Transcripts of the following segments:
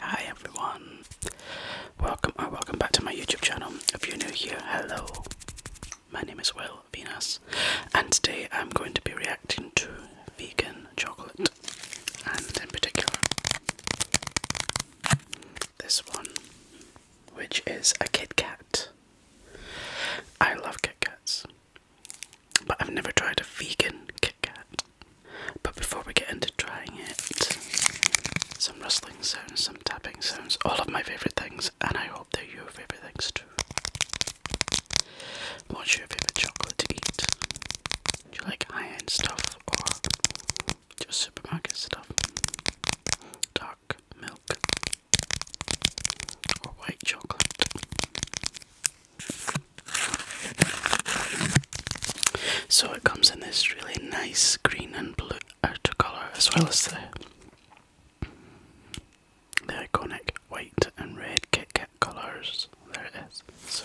Hi everyone, welcome or uh, welcome back to my YouTube channel. If you're new here, hello. My name is Will Venus, and today I'm going to be reacting to vegan chocolate, and in particular this one, which is a Kit Kat. I love Kit Kats. But I've never tried a vegan Kit Kat. But before we get into trying it, some rustling sounds, some tapping sounds, all of my favourite things, and I hope they're your favourite things too. What's your favourite chocolate to eat? Do you like high end stuff or just supermarket stuff? Dark milk or white chocolate? So it comes in this really nice green and blue colour as well as the the iconic white and red Kit colours. There it is. So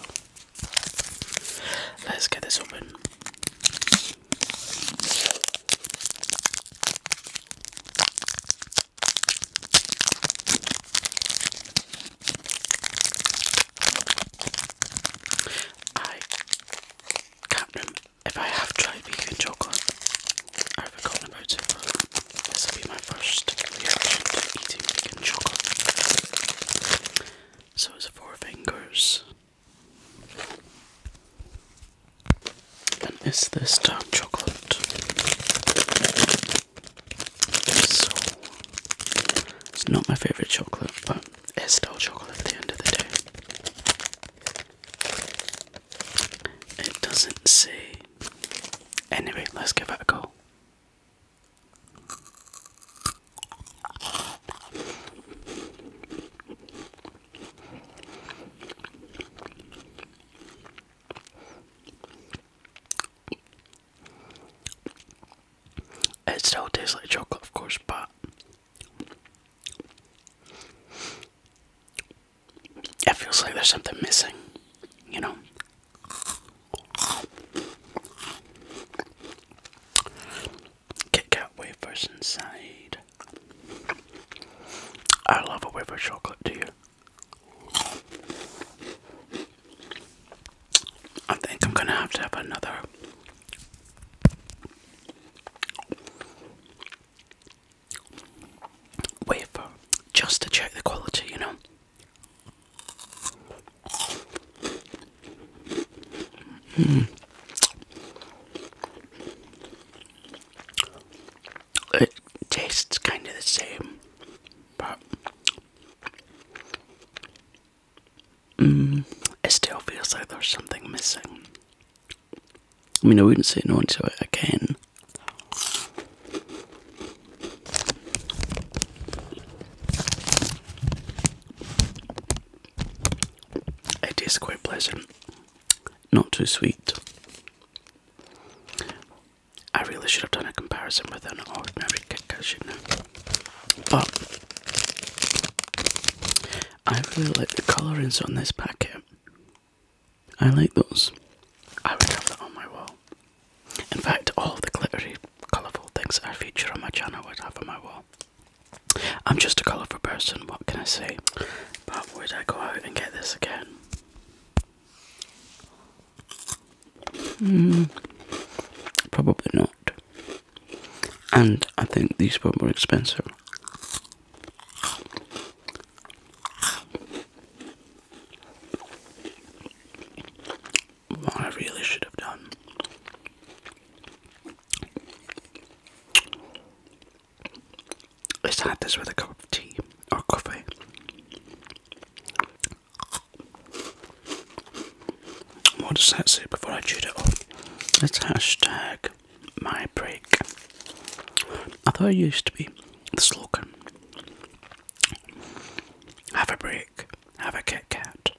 let's get this open. I can't remember if I have tried vegan chocolate. I've forgotten about it, this will be my first reaction to eating vegan chocolate. So it's four fingers. And is this dark chocolate? So it's not my favorite chocolate, but it's still chocolate at the end of the day. It doesn't say. Anyway, let's give it a go. It still tastes like chocolate, of course, but it feels like there's something missing, you know. Kit Kat wafers inside. I love a wafer chocolate, do you? I think I'm gonna have to have another wafer just to check the quality, you know. Mm tastes kind of the same, but mm, it still feels like there's something missing. I mean, I wouldn't say no to it again. It is quite pleasant, not too sweet, I really should have done a comparison with an ordinary Kit Kat, should But I really like the colourings on this packet. I like those. I would have that on my wall. In fact, all the glittery, colourful things I feature on my channel would have on my wall. I'm just a colourful person, what can I say? But would I go out and get this again? Hmm. probably not. And I think these were more expensive. What I really should have done Let's add this with a cup of tea or coffee. What does that say before I chewed it off? let hashtag my break. I thought it used to be the slogan. Have a break, have a Kit Kat.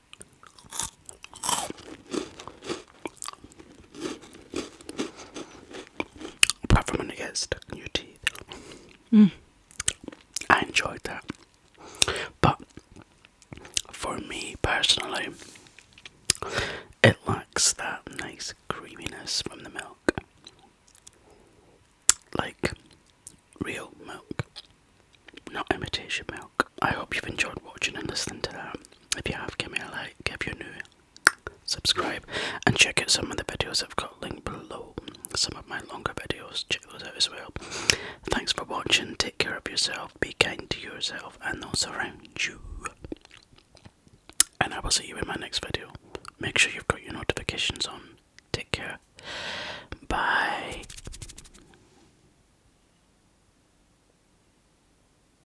Apart from when it gets stuck in your teeth. Mm. I enjoyed that. But for me personally, it lacks that nice creaminess from the milk. Like real milk, not imitation milk. I hope you've enjoyed watching and listening to that. If you have, give me a like. If you're new, subscribe, and check out some of the videos I've got linked below. Some of my longer videos, check those out as well. Thanks for watching, take care of yourself, be kind to yourself and those around you. And I will see you in my next video. Make sure you've got your notifications on. Take care. Bye.